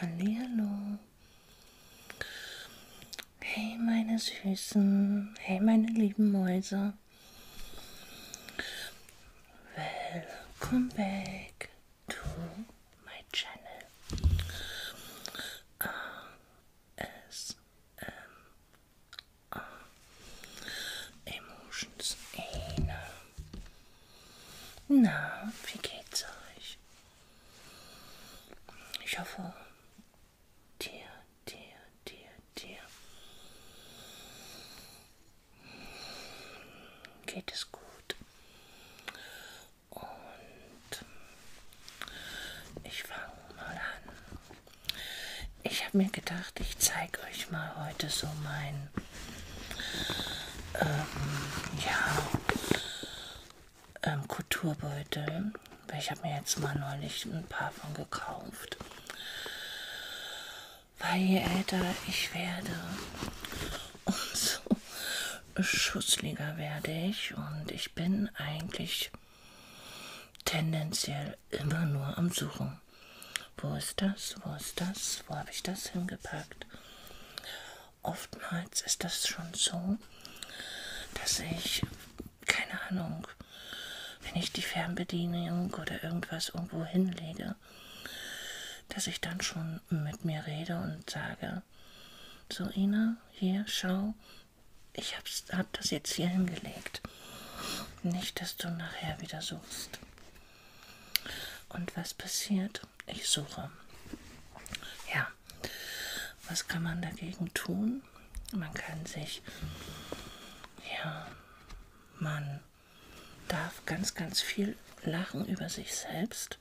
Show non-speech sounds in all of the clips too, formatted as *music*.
Hallo. Hey meine Süßen, hey meine lieben Mäuse. Welcome back to my channel. ASMR Emotions Ene. Na, wie geht's euch? Ich hoffe, dir, dir, dir, dir. Geht es gut? Und ich fange mal an. Ich habe mir gedacht, ich zeige euch mal heute so mein, ähm, ja, ähm, Kulturbeutel. Ich habe mir jetzt mal neulich ein paar von gekauft. Weil je älter ich werde, umso schussliger werde ich. Und ich bin eigentlich tendenziell immer nur am Suchen. Wo ist das? Wo ist das? Wo habe ich das hingepackt? Oftmals ist das schon so, dass ich, keine Ahnung, wenn ich die Fernbedienung oder irgendwas irgendwo hinlege, dass ich dann schon mit mir rede und sage, so Ina, hier, schau, ich hab's, hab das jetzt hier hingelegt. Nicht, dass du nachher wieder suchst. Und was passiert? Ich suche. Ja. Was kann man dagegen tun? Man kann sich, ja, man darf ganz, ganz viel lachen über sich selbst,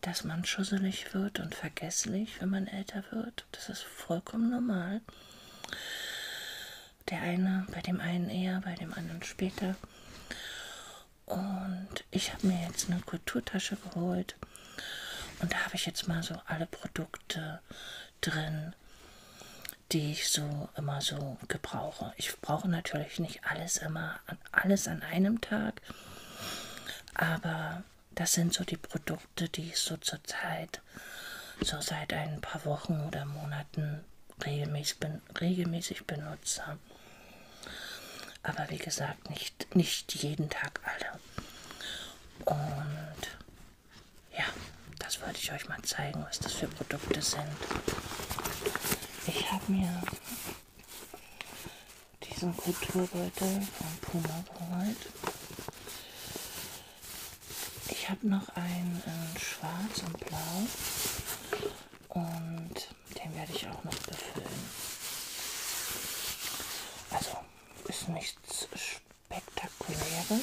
dass man schusselig wird und vergesslich, wenn man älter wird gemacht. Das ist vollkommen normal. Der eine, bei dem einen eher, bei dem anderen später. Und ich habe mir jetzt eine Kulturtasche geholt. Und da habe ich jetzt mal so alle Produkte drin, die ich so immer so gebrauche. Ich brauche natürlich nicht alles immer, alles an einem Tag. Aber das sind so die Produkte, die ich so zurzeit hat, so seit ein paar Wochen oder Monaten regelmäßig, regelmäßig benutze. Aber wie gesagt, nicht, nicht jeden Tag alle. Und ja, das wollte ich euch mal zeigen, was das für Produkte sind. Ich habe mir diesen Kulturbeutel von Puma geholt. Ich habe noch einen in Schwarz und Blau und den werde ich auch noch befüllen. Also ist nichts spektakuläres.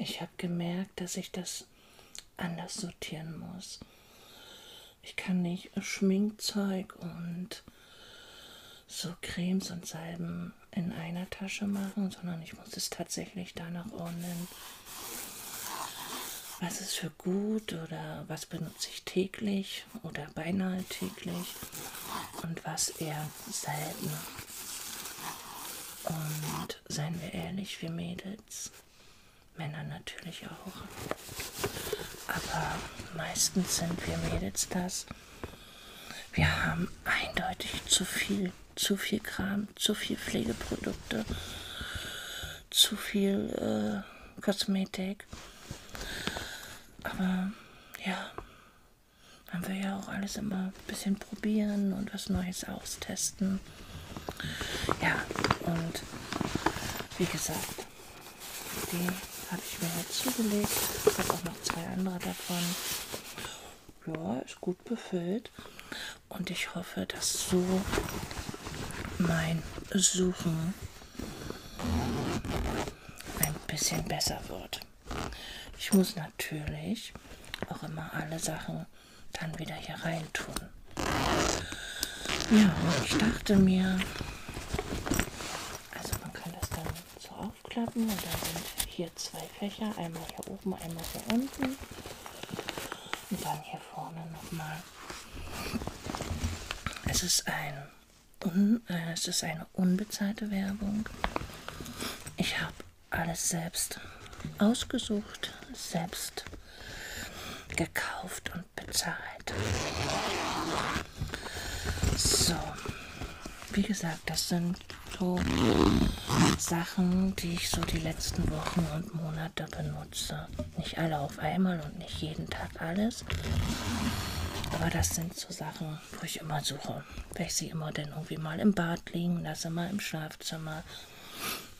Ich habe gemerkt, dass ich das anders sortieren muss. Ich kann nicht Schminkzeug und so Cremes und Salben in einer Tasche machen, sondern ich muss es tatsächlich danach ordnen, was es für für gut oder was benutze ich täglich oder beinahe täglich und was eher selten. Und seien wir ehrlich, wir Mädels, Männer natürlich auch, aber meistens sind wir Mädels das. Wir haben eindeutig zu viel, zu viel Kram, zu viel Pflegeprodukte, zu viel... Äh, Kosmetik. Aber ja, man will ja auch alles immer ein bisschen probieren und was Neues austesten. Ja, und wie gesagt, die habe ich mir jetzt zugelegt. Ich habe auch noch zwei andere davon. Ja, ist gut befüllt. Und ich hoffe, dass so mein Suchen ein bisschen besser wird. Ich muss natürlich auch immer alle Sachen dann wieder hier rein tun. Ja, ich dachte mir, also man kann das dann so aufklappen und dann sind hier zwei Fächer, einmal hier oben, einmal hier unten und dann hier vorne nochmal es ist, ein un, äh, es ist eine unbezahlte Werbung. Ich habe alles selbst ausgesucht, selbst gekauft und bezahlt. So, wie gesagt, das sind so Sachen, die ich so die letzten Wochen und Monate benutze. Nicht alle auf einmal und nicht jeden Tag hat alles. Aber das sind so Sachen, wo ich immer suche. Weil ich sie immer dann irgendwie mal im Bad liegen lasse, mal im Schlafzimmer,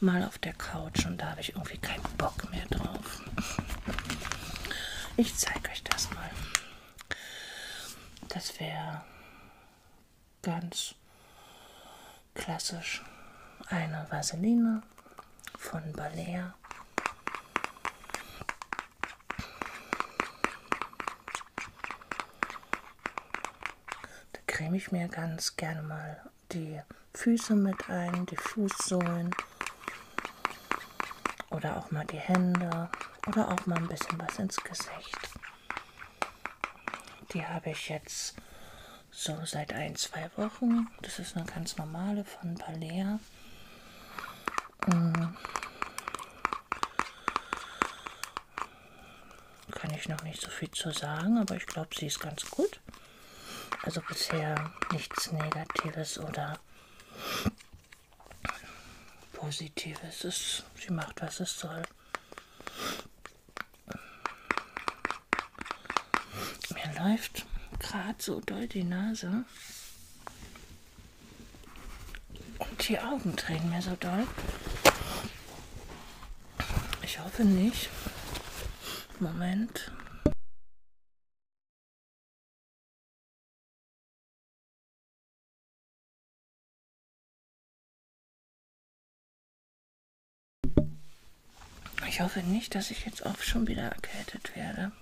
mal auf der Couch und da habe ich irgendwie keinen Bock mehr drauf. Ich zeige euch das mal. Das wäre ganz klassisch eine Vaseline von Balea. Da creme ich mir ganz gerne mal die Füße mit ein, die Fußsohlen oder auch mal die Hände oder auch mal ein bisschen was ins Gesicht. Die habe ich jetzt so seit ein, zwei Wochen gucken. Das ist eine ganz normale von Balea. Hm. Kann ich noch nicht so viel zu sagen, aber ich glaube, sie ist ganz gut. Also bisher nichts Negatives oder Positives. Ist, sie macht, was es soll. Mir läuft gerade so doll die Nase. Und die Augen drehen mir so doll. Ich hoffe nicht. Moment. Ich hoffe nicht, dass ich jetzt auch schon wieder erkältet werde.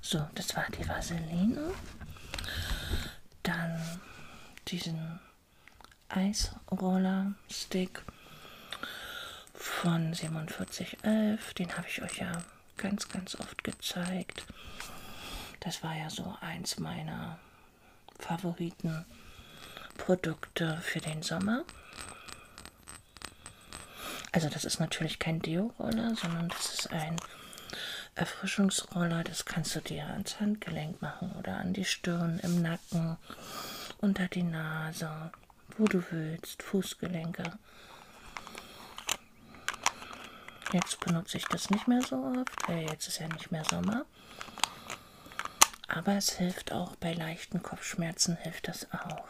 So, das war die Vaseline. Dann diesen Eisroller-Stick von 4711. Den habe ich euch ja ganz, ganz oft gezeigt. Das war ja so eins meiner Favoriten Produkte für den Sommer. Also das ist natürlich kein Deo-Roller, sondern das ist ein Erfrischungsroller. Das kannst du dir ans Handgelenk machen oder an die Stirn, im Nacken, unter die Nase, wo du willst, Fußgelenke. Jetzt benutze ich das nicht mehr so oft, weil jetzt ist ja nicht mehr Sommer. Aber es hilft auch bei leichten Kopfschmerzen, hilft das auch.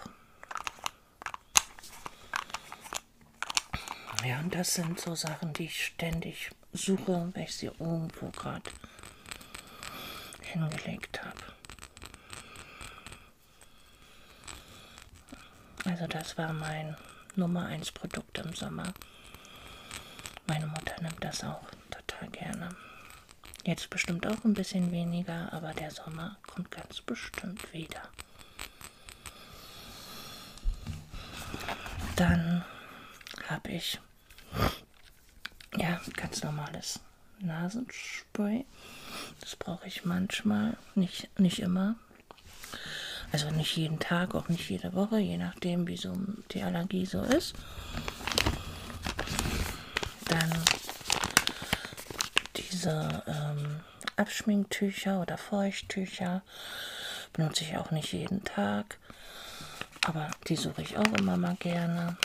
Ja, und das sind so Sachen, die ich ständig suche, weil ich sie irgendwo gerade hingelegt habe. Also das war mein Nummer 1 Produkt im Sommer. Meine Mutter nimmt das auch total gerne. Jetzt bestimmt auch ein bisschen weniger, aber der Sommer ja, kommt ganz bestimmt wieder. Dann habe ich ja ganz normales Nasenspray. Das brauche ich manchmal, nicht, nicht immer. Also nicht jeden Tag, auch nicht jede Woche, je nachdem, wie so die Allergie so ist. Dann diese ähm, Abschminktücher oder Feuchttücher benutze ich auch nicht jeden Tag, aber die suche ich auch immer mal gerne.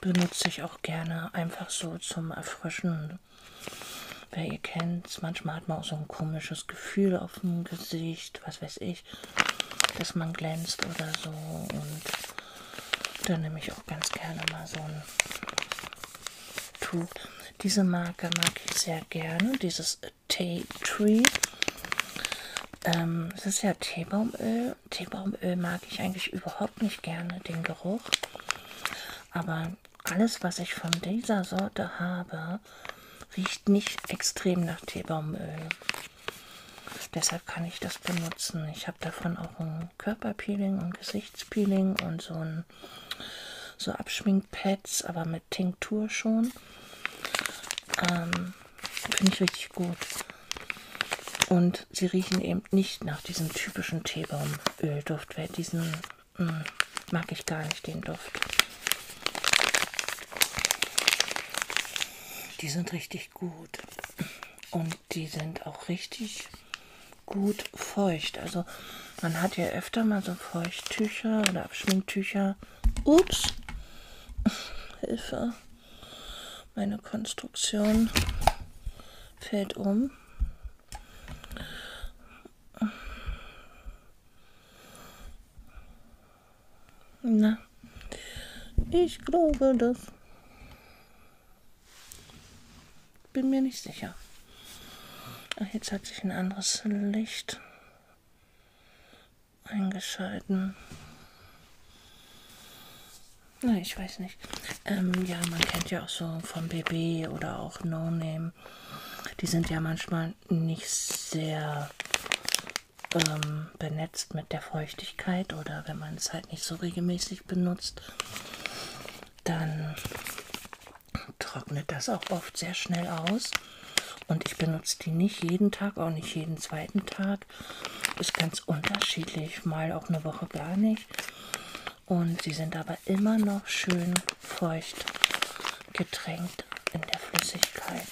Benutze ich auch gerne einfach so zum Erfrischen. Wer ihr kennt, manchmal hat man auch so ein komisches Gefühl auf dem Gesicht, was weiß ich, dass man glänzt oder so und da nehme ich auch ganz gerne mal so ein Tuch. Diese Marke mag ich sehr gerne, dieses Tea Tree. Ähm, das ist ja Teebaumöl. Teebaumöl mag ich eigentlich überhaupt nicht gerne, den Geruch. Aber alles, was ich von dieser Sorte habe, riecht nicht extrem nach Teebaumöl. Deshalb kann ich das benutzen. Ich habe davon auch ein Körperpeeling und Gesichtspeeling und so ein so Abschminkpads, aber mit Tinktur schon. Ähm, Finde ich richtig gut. Und sie riechen eben nicht nach diesem typischen Teebaumölduft, weil diesen mh, mm, mag ich gar nicht, den Duft. Die sind richtig gut. Und die sind auch richtig gut feucht. Also man hat ja öfter mal so Feuchttücher oder Abschminktücher. Ups, Hilfe, meine Konstruktion fällt um. Na, ja, ich glaube das. Bin mir nicht sicher. Ach, jetzt hat sich ein anderes Licht eingeschalten. Na, ich weiß nicht. Ähm, ja, man kennt ja auch so von BB oder auch No Name. Die sind ja manchmal nicht sehr ähm, benetzt mit der Feuchtigkeit oder wenn man es halt nicht so regelmäßig benutzt, dann trocknet das auch oft sehr schnell aus. Und ich benutze die nicht jeden Tag, auch nicht jeden zweiten Tag. Ist ganz unterschiedlich, mal auch eine Woche gar nicht. Und sie sind aber immer noch schön feucht getränkt in der Flüssigkeit.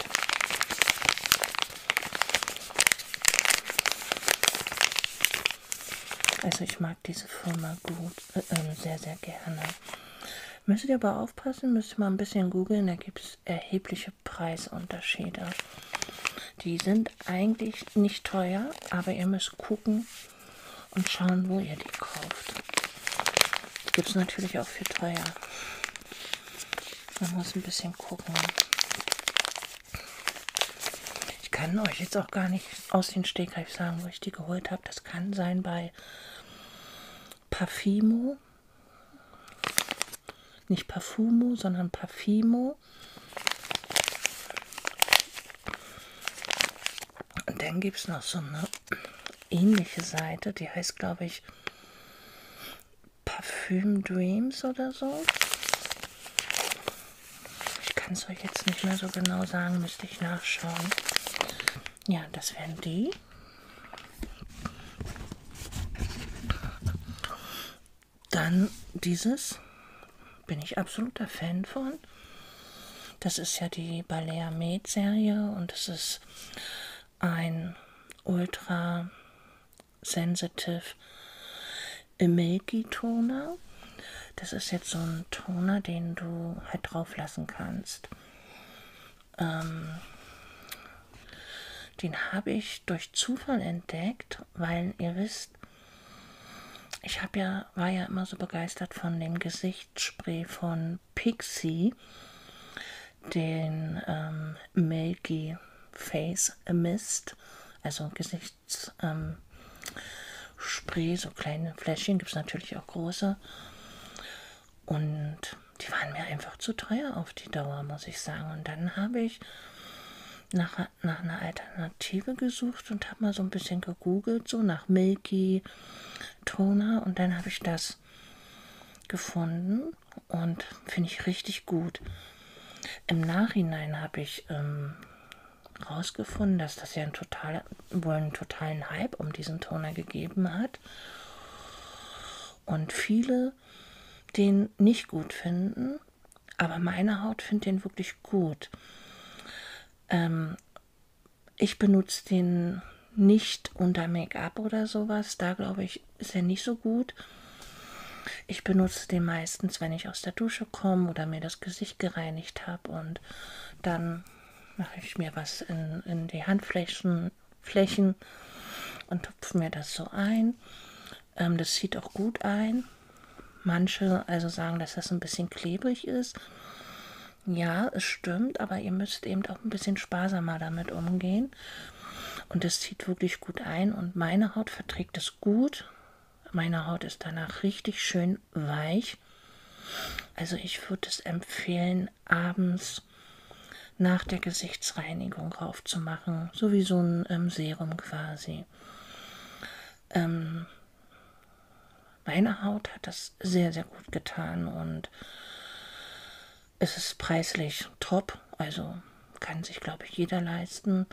Also ich mag diese Firma gut, äh, ähm, sehr, sehr gerne. Müsst ihr aber aufpassen, müsst ihr mal ein bisschen googeln, da gibt es erhebliche Preisunterschiede. Die sind eigentlich nicht teuer, aber ihr müsst gucken und schauen, wo ihr die kauft. Gibt es natürlich auch für teuer. Man muss ein bisschen gucken. Ich kann euch jetzt auch gar nicht aus den Stegreif sagen, wo ich die geholt habe. Das kann sein bei Parfimo. Nicht Parfumo, sondern Parfimo. Und dann gibt es noch so eine ähnliche Seite, die heißt, glaube ich, Parfüm Dreams oder so. Ich kann es euch jetzt nicht mehr so genau sagen, müsste ich nachschauen. Ja, das wären die. Dann dieses, bin ich absoluter Fan von. Das ist ja die Balea Med Serie und es ist ein ultra Sensitive Milky Toner. Das ist jetzt so ein Toner, den du halt drauf lassen kannst. Ähm, den habe ich durch Zufall entdeckt, weil ihr wisst, ich habe ja, war ja immer so begeistert von dem Gesichtsspray von Pixie, den ähm, Milky Face Mist, also Gesicht rechts ähm, Spray, so kleine Fläschchen, gibt es natürlich auch große. Und die waren mir einfach zu teuer auf die Dauer, muss ich sagen. Und dann habe ich nach, nach einer Alternative gesucht und habe mal so ein bisschen gegoogelt, so nach Milky Toner. Und dann habe ich das gefunden und finde ich richtig gut. Im Nachhinein habe ich ähm, rausgefunden, dass das ja ein total, wohl einen totalen Hype um diesen Toner gegeben hat und viele den nicht gut finden, aber meine Haut findet den wirklich gut. Ähm, ich benutze den nicht unter Make-up oder sowas, da glaube ich, ist er nicht so gut. Ich benutze den meistens, wenn ich aus der Dusche komme oder mir das Gesicht gereinigt habe und dann mache ich mir was in, in die Handflächen Flächen und tupfe mir das so ein. Ähm, das zieht auch gut ein. Manche also sagen, dass das ein bisschen klebrig ist. Ja, es stimmt, aber ihr müsst eben auch ein bisschen sparsamer damit umgehen. Und es zieht wirklich gut ein und meine Haut verträgt es gut. Meine Haut ist danach richtig schön weich. Also ich würde es empfehlen, abends nach der Gesichtsreinigung raufzumachen. So wie so ein ähm, Serum quasi. Ähm, meine Haut hat das sehr, sehr gut getan und es ist preislich top. Also kann sich, glaube ich, jeder leisten.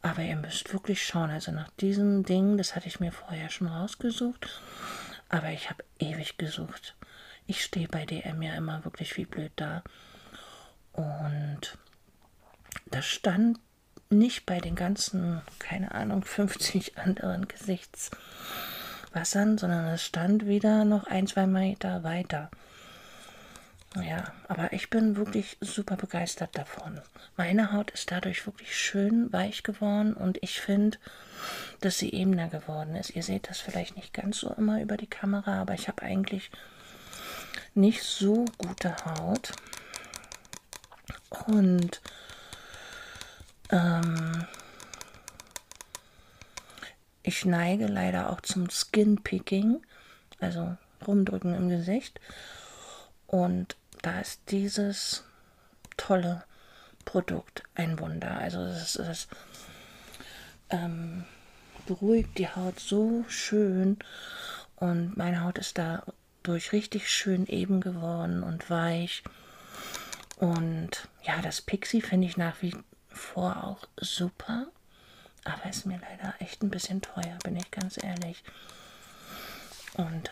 Aber ihr müsst wirklich schauen. Also nach diesem Ding, das hatte ich mir vorher schon rausgesucht. Aber ich habe ewig gesucht. Ich stehe bei DM ja immer wirklich wie blöd da. Und das stand nicht bei den ganzen, keine Ahnung, 50 *laughs* anderen Gesichtswassern, sondern es stand wieder noch ein, zwei Meter weiter. Ja, aber ich bin wirklich super begeistert davon. Meine Haut ist dadurch wirklich schön weich geworden und ich finde, dass sie ebener geworden ist. Ihr seht das vielleicht nicht ganz so immer über die Kamera, aber ich habe eigentlich nicht so gute Haut. Und ähm, ich neige leider auch zum Skin Picking. Also rumdrücken im Gesicht. Und da ist dieses tolle Produkt ein Wunder. Also es, es ähm, beruhigt die Haut so schön und meine Haut ist dadurch richtig schön eben geworden und weich. Und ja, das Pixie finde ich nach wie vor auch super aber ist mir leider echt ein bisschen teuer, bin ich ganz ehrlich. Und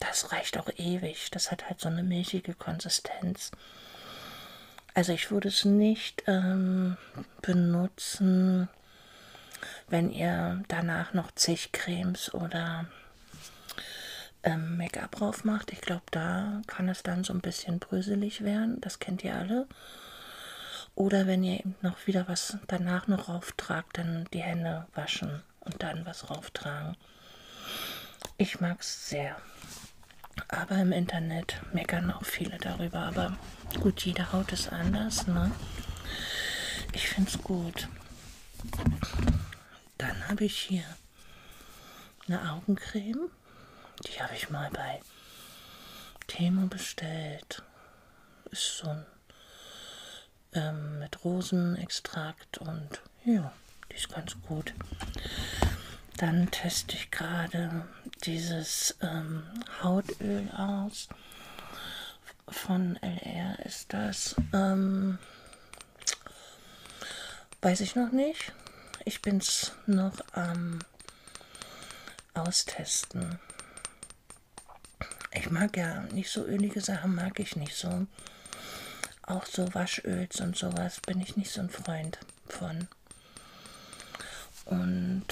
das reicht auch ewig. Das hat halt so eine milchige Konsistenz. Also ich würde es nicht ähm, benutzen, wenn ihr danach noch zig Cremes oder ähm, Make-up drauf macht. Ich glaube, da kann es dann so ein bisschen bröselig werden. Das kennt ihr alle. Oder wenn ihr eben noch wieder was danach noch rauftragt, dann die Hände waschen und dann was rauftragen. Ich mag es sehr. Aber im Internet meckern auch viele darüber. Aber gut, jede Haut ist anders. Ne? Ich finde es gut. Dann habe ich hier eine Augencreme. Die habe ich mal bei Temo bestellt. Ist so ein ähm, mit Rosenextrakt und ja, die ist ganz gut. Dann teste ich gerade dieses ähm, Hautöl aus. Von LR ist das. Ähm, weiß ich noch nicht. Ich bin es noch am Austesten. Ich mag ja nicht so ölige Sachen, mag ich nicht so. Auch so Waschöls und sowas bin ich nicht so ein Freund von. Und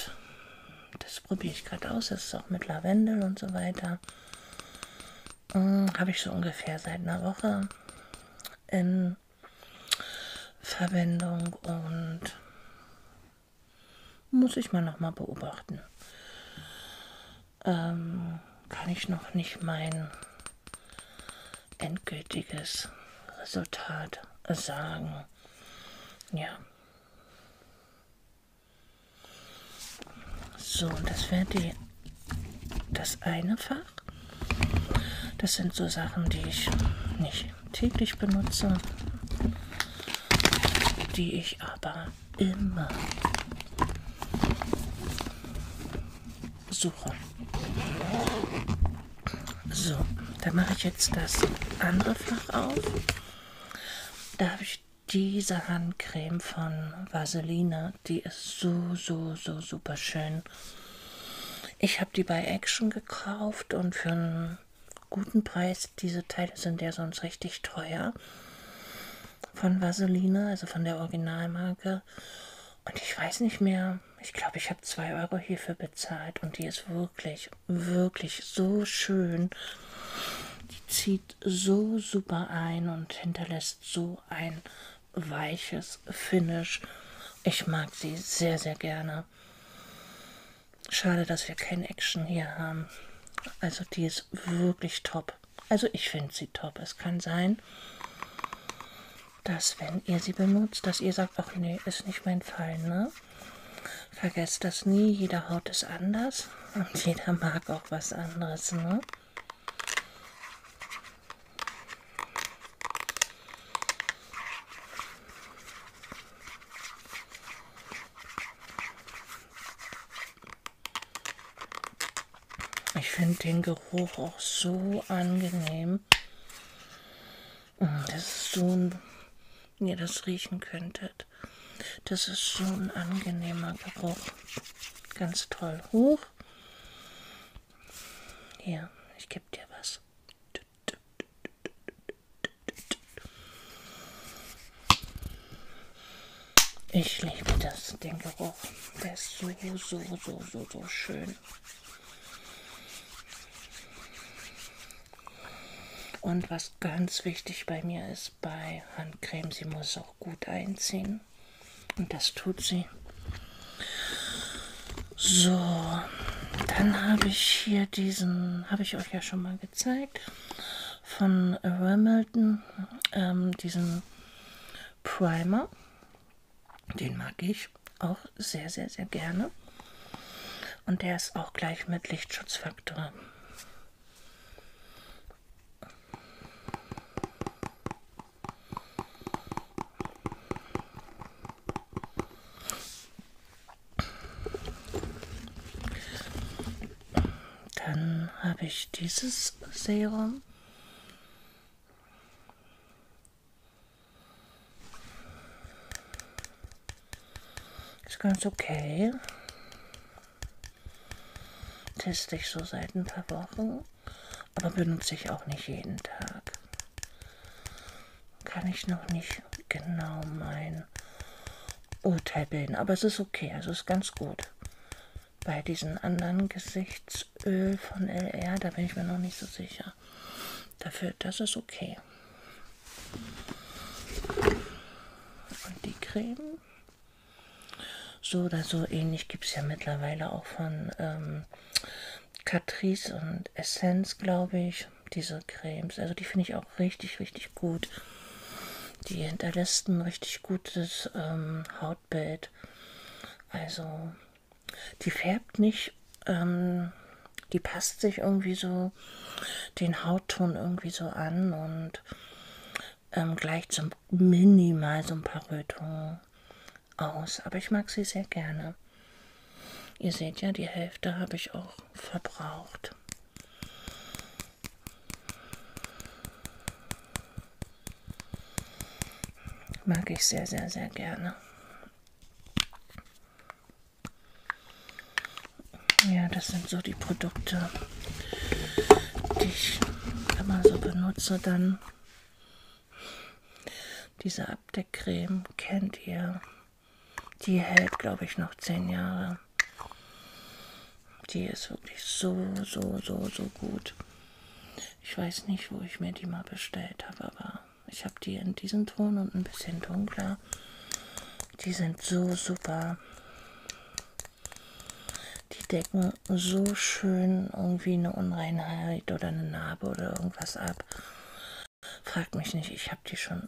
das probiere ich gerade aus. Das ist auch mit Lavendel und so weiter. Hm, Habe ich so ungefähr seit einer Woche in Verwendung und muss ich mal nochmal beobachten. Ähm, kann ich noch nicht mein endgültiges Resultat sagen. Ja. So, das wäre die das eine Fach. Das sind so Sachen, die ich nicht täglich benutze die ich aber immer suche. So, dann mache ich jetzt das andere Fach auf. Da habe ich diese Handcreme von Vaseline, die ist so, so, so super schön. Ich habe die bei Action gekauft und für einen guten Preis. Diese Teile sind ja sonst richtig teuer. Von Vaseline, also von der Originalmarke. Und ich weiß nicht mehr, ich glaube, ich habe 2 Euro hierfür bezahlt. Und die ist wirklich, wirklich so schön. Die zieht so super ein und hinterlässt so ein weiches Finish. Ich mag sie sehr, sehr gerne. Schade, dass wir keine Action hier haben. Also die ist wirklich top. Also ich finde sie top. Es kann sein, dass wenn ihr sie benutzt, dass ihr sagt, ach nee, ist nicht mein Fall, ne? Vergesst das nie, jeder Haut ist anders *laughs* und jeder mag auch was anderes, ne? Ich finde den Geruch auch so angenehm, mm, dass es so ein, ihr das riechen könntet. Das ist so ein angenehmer Geruch. Ganz toll. Hoch. Hier, ich gebe dir was. Ich liebe das, den Geruch. Der ist so, so, so, so, so schön. Und was ganz wichtig bei mir ist, bei Handcreme, sie muss auch gut einziehen. Und das tut sie. So, dann habe ich hier diesen, habe ich euch ja schon mal gezeigt von Royal Milton ähm, diesen Primer. Den mag ich auch sehr, sehr, sehr gerne. Und der ist auch gleich mit Lichtschutzfaktor. Dann habe ich dieses Serum. Ist ganz okay. Teste ich so seit ein paar Wochen, aber benutze ich auch nicht jeden Tag. Kann ich noch nicht genau meinen Urteil bilden, aber es ist okay, also ist ganz gut. Bei diesen anderen Gesichtsöl von LR, da bin ich mir noch nicht so sicher. Dafür, das ist okay. Und die Creme. So oder so ähnlich gibt es ja mittlerweile auch von ähm, Catrice und Essence, glaube ich, diese Cremes. Also die finde ich auch richtig, richtig gut die hinterlässt ein richtig gutes ähm, Hautbild. Also die färbt nicht, ähm, die passt sich irgendwie so den Hautton irgendwie so an und ähm, gleicht so minimal so ein paar Rötungen aus. Aber ich mag sie sehr gerne. Ihr seht ja, die Hälfte habe ich auch verbraucht. Musik. Mag ich sehr, sehr, sehr gerne. Ja, das sind so die Produkte, die ich immer so benutze. Dann diese Abdeckcreme kennt ihr. Die hält, glaube ich, noch zehn Jahre. Die ist wirklich so, so, so, so gut. Ich weiß nicht, wo ich mir die mal bestellt habe, aber ich habe die in diesem Ton und ein bisschen dunkler. Die sind so super. Die decken so schön irgendwie eine Unreinheit oder eine Narbe oder irgendwas ab. Fragt mich nicht, ich habe die schon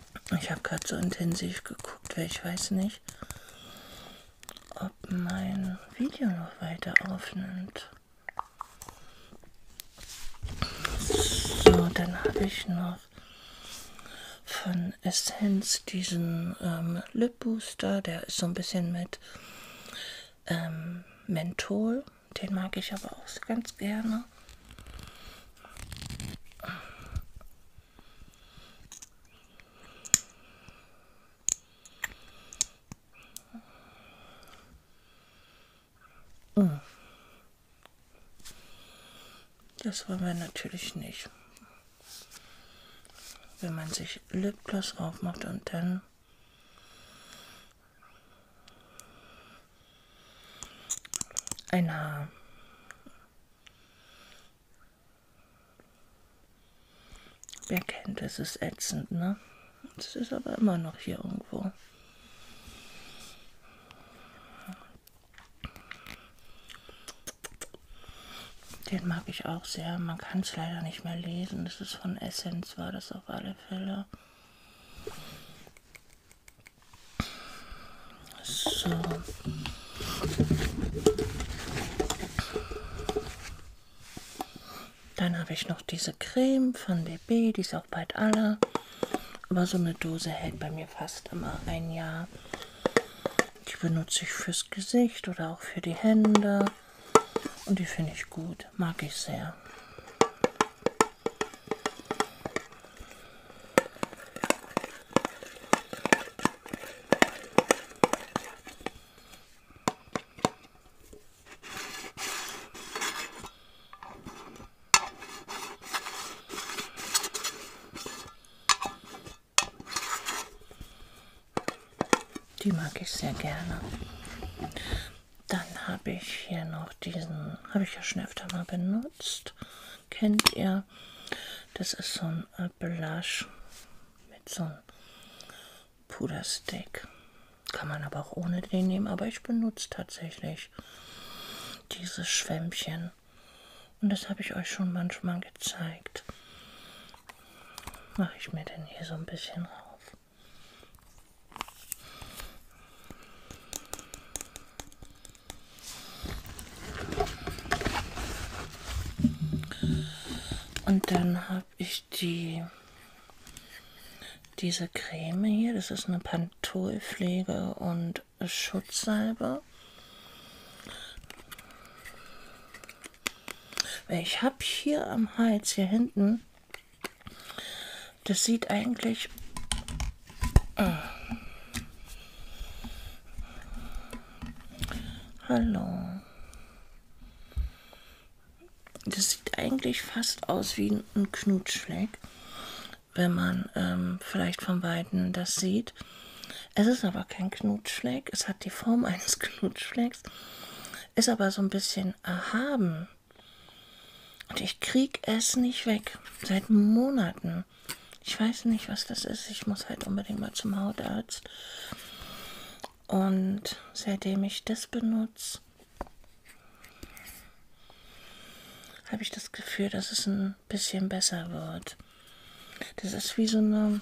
Ich habe gerade so intensiv geguckt, weil ich weiß nicht, ob mein Video noch weiter aufnimmt. So, dann habe ich noch von Essence diesen ähm, Lip Booster. Der ist so ein bisschen mit ähm, Menthol. Den mag ich aber auch ganz gerne. Das wollen wir natürlich nicht. Wenn man sich Lipgloss aufmacht und dann ein Haar Wer kennt, es ist ätzend, ne? Es ist aber immer noch hier irgendwo. Den mag ich auch sehr. Man kann es leider nicht mehr lesen. Das ist von Essence, war das auf alle Fälle. So. Dann habe ich noch diese Creme von BB, die ist auch bald alle. Aber so eine Dose hält bei mir fast immer ein Jahr. Die benutze ich fürs Gesicht oder auch für die Hände. Und die finde ich gut, mag ich sehr. Die mag ich sehr gerne. Dann habe ich hier noch diesen, habe ich ja schon öfter mal benutzt, kennt ihr. Das ist so ein äh, Blush mit so einem Puderstick. Kann man aber auch ohne den nehmen, aber ich benutze tatsächlich dieses Schwämmchen. Und das habe ich euch schon manchmal gezeigt. Mache ich mir denn hier so ein bisschen rauf. Und dann habe ich die diese Creme hier. Das ist eine Pantolpflege und Schutzsalbe. Ich habe hier am Hals, hier hinten, das sieht eigentlich... Äh, Hallo. Das sieht eigentlich fast aus wie ein Knutschfleck, wenn man ähm, vielleicht von Weitem das sieht. Es ist aber kein Knutschfleck, es hat die Form *laughs* eines Knutschflecks, ist aber so ein bisschen erhaben. Und ich krieg es nicht weg. Seit Monaten. Ähm, ich weiß nicht, was das ist. Ich muss halt unbedingt mal zum Hautarzt. Und seitdem ich das benutze, habe ich das Gefühl, dass es ein bisschen besser wird. Das ist wie so eine...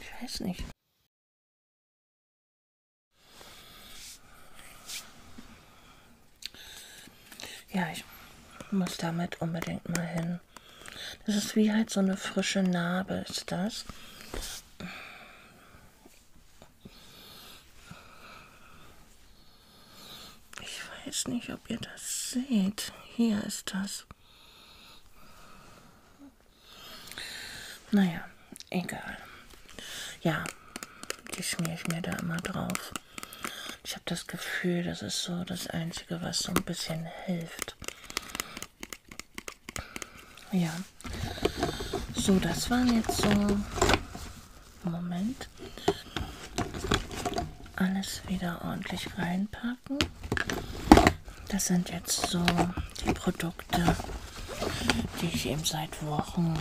Ich weiß nicht. Ja, ich muss damit unbedingt mal hin. Das ist wie halt so eine frische Narbe, ist das. Ich weiß nicht, ob ihr das seht. Hier ist das. Naja, egal. Ja, die schmiere ich mir da immer drauf. Ich habe das Gefühl, das ist so das Einzige, was so ein bisschen hilft gemacht. Ja. So, das waren jetzt so. Moment. Alles wieder ordentlich reinpacken. Das sind jetzt so die Produkte, die ich eben seit Wochen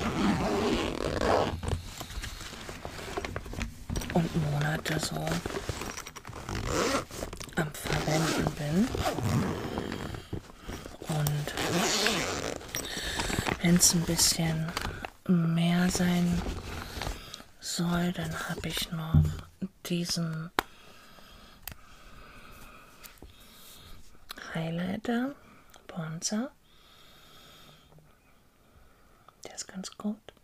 und Monate so am Verwenden bin. Und wenn es ein bisschen mehr sein soll, dann habe ich noch diesen Highlighter Bronzer. Der ist ganz gut.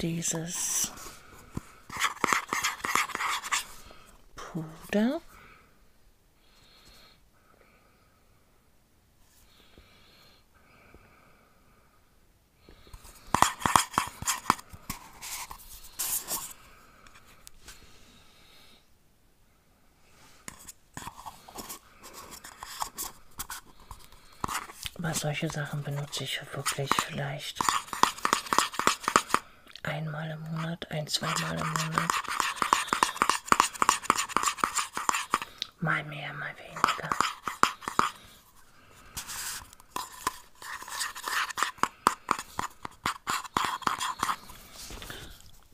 dieses Puder. Aber solche Sachen benutze ich wirklich vielleicht einmal im Monat, ein, zweimal im Monat. Mal mehr, mal weniger.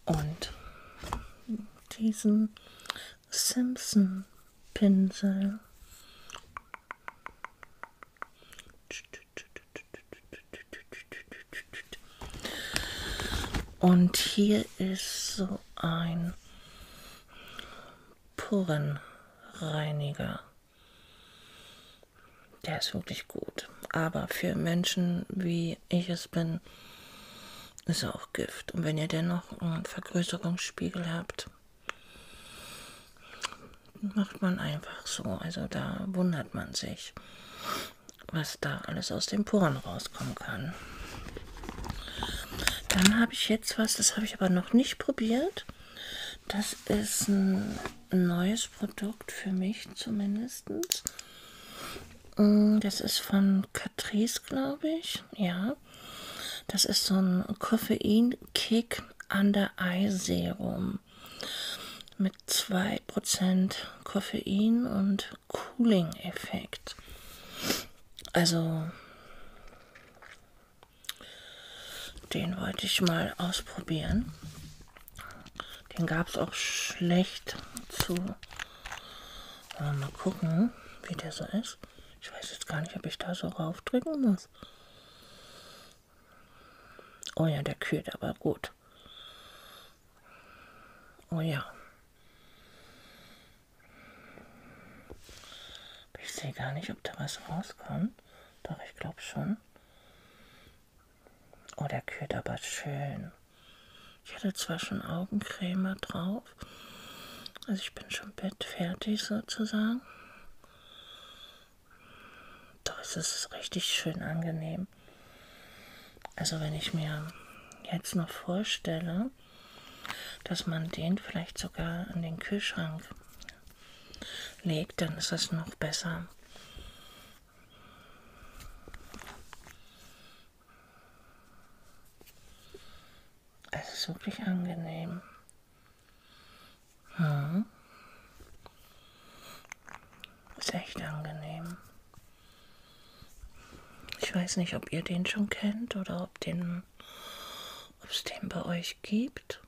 Und diesen Simpson Pinsel. Und hier ist so ein Porenreiniger. Der ist wirklich gut. Aber für Menschen wie ich es bin, ist auch Gift. Und wenn ihr dennoch einen Vergrößerungsspiegel habt, Macht man einfach so. Also da wundert man sich, was da alles aus den Poren rauskommen kann. Dann habe ich jetzt was, das habe ich aber noch nicht probiert. Das ist ein neues Produkt für mich zumindest. Mm, das ist von Catrice, glaube ich. Ja ja. Das ist so ein Koffein-Kick an der Eye-Serum mit 2% Koffein und Cooling-Effekt. Also, den wollte ich mal ausprobieren. Den gab es auch schlecht zu. Äh, mal gucken, wie der so ist das? Ich weiß jetzt gar nicht, ob ich da so raufdrücken muss. Oh ja, der kühlt aber gut. Oh ja. Ich sehe gar nicht, ob da was rauskommt. Doch, ich glaube schon. Oh, der kühlt aber schön. Ich hatte zwar schon Augencreme drauf auf. Also ich bin schon bettfertig sozusagen. Doch es ist richtig schön angenehm. Also wenn ich mir jetzt noch vorstelle, dass man den vielleicht sogar an den Kühlschrank legt, dann ist das noch besser. Es ist wirklich angenehm. Hm. Ist echt angenehm. Ich weiß nicht, ob ihr den schon kennt oder ob den, ob es den bei euch gibt.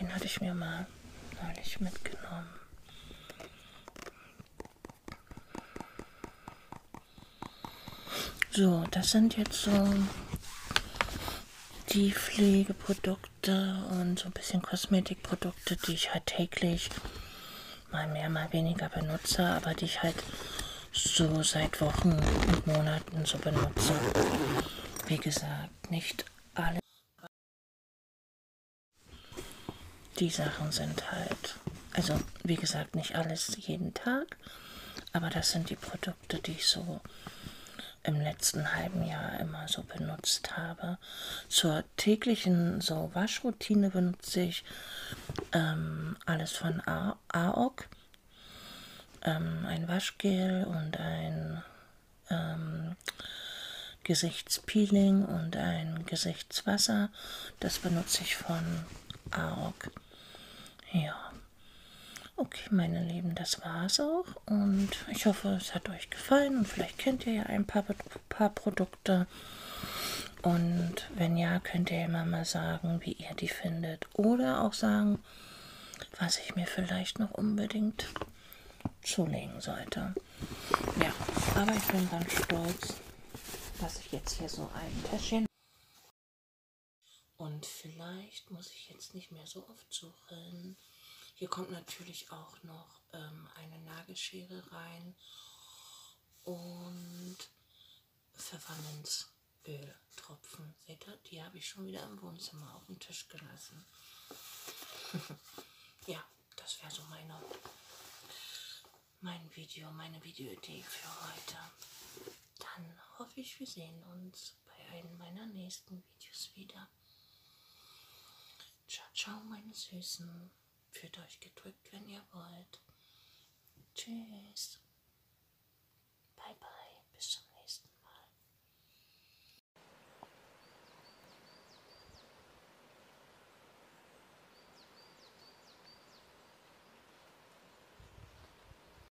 Den hatte ich mir mal neulich mitgenommen. So, das sind jetzt so die Pflegeprodukte und so ein bisschen Kosmetikprodukte, die ich halt täglich mal mehr, mal weniger benutze, aber die ich halt so seit Wochen und Monaten so benutze. Wie gesagt, nicht alle. Die Sachen sind halt, also wie gesagt, nicht alles jeden Tag, aber das sind die Produkte. Produkte, die ich so im letzten halben Jahr immer so benutzt habe. Zur täglichen so Waschroutine benutze ich ähm, alles von A AOK, ähm, ein Waschgel und ein ähm, Gesichtspeeling und ein Gesichtswasser. Das benutze ich von AOK. Ja. Okay, meine Lieben, das war's auch. Und ich hoffe, es hat euch gefallen. Und vielleicht kennt ihr ja ein paar, paar Produkte. Und wenn ja, könnt ihr immer mal sagen, wie ihr die findet. Oder auch sagen, was ich mir vielleicht noch unbedingt zulegen sollte. Ja, aber ich bin ganz stolz, dass ich jetzt hier so ein Täschchen und vielleicht muss ich jetzt nicht mehr so oft suchen. Hier kommt natürlich auch noch ähm, eine Nagelschere rein und Pfefferminzöltropfen. Seht ihr, die habe ich schon wieder im Wohnzimmer auf dem Tisch gelassen. *laughs* ja, das wäre so meine, mein Video, meine Videoidee für heute. Dann hoffe ich, wir sehen uns uns bei einem meiner nächsten Videos wieder. Ciao, ciao, meine Süßen. Fühlt euch gedrückt, wenn ihr wollt. Tschüss. Bye, bye. Bis zum nächsten Mal.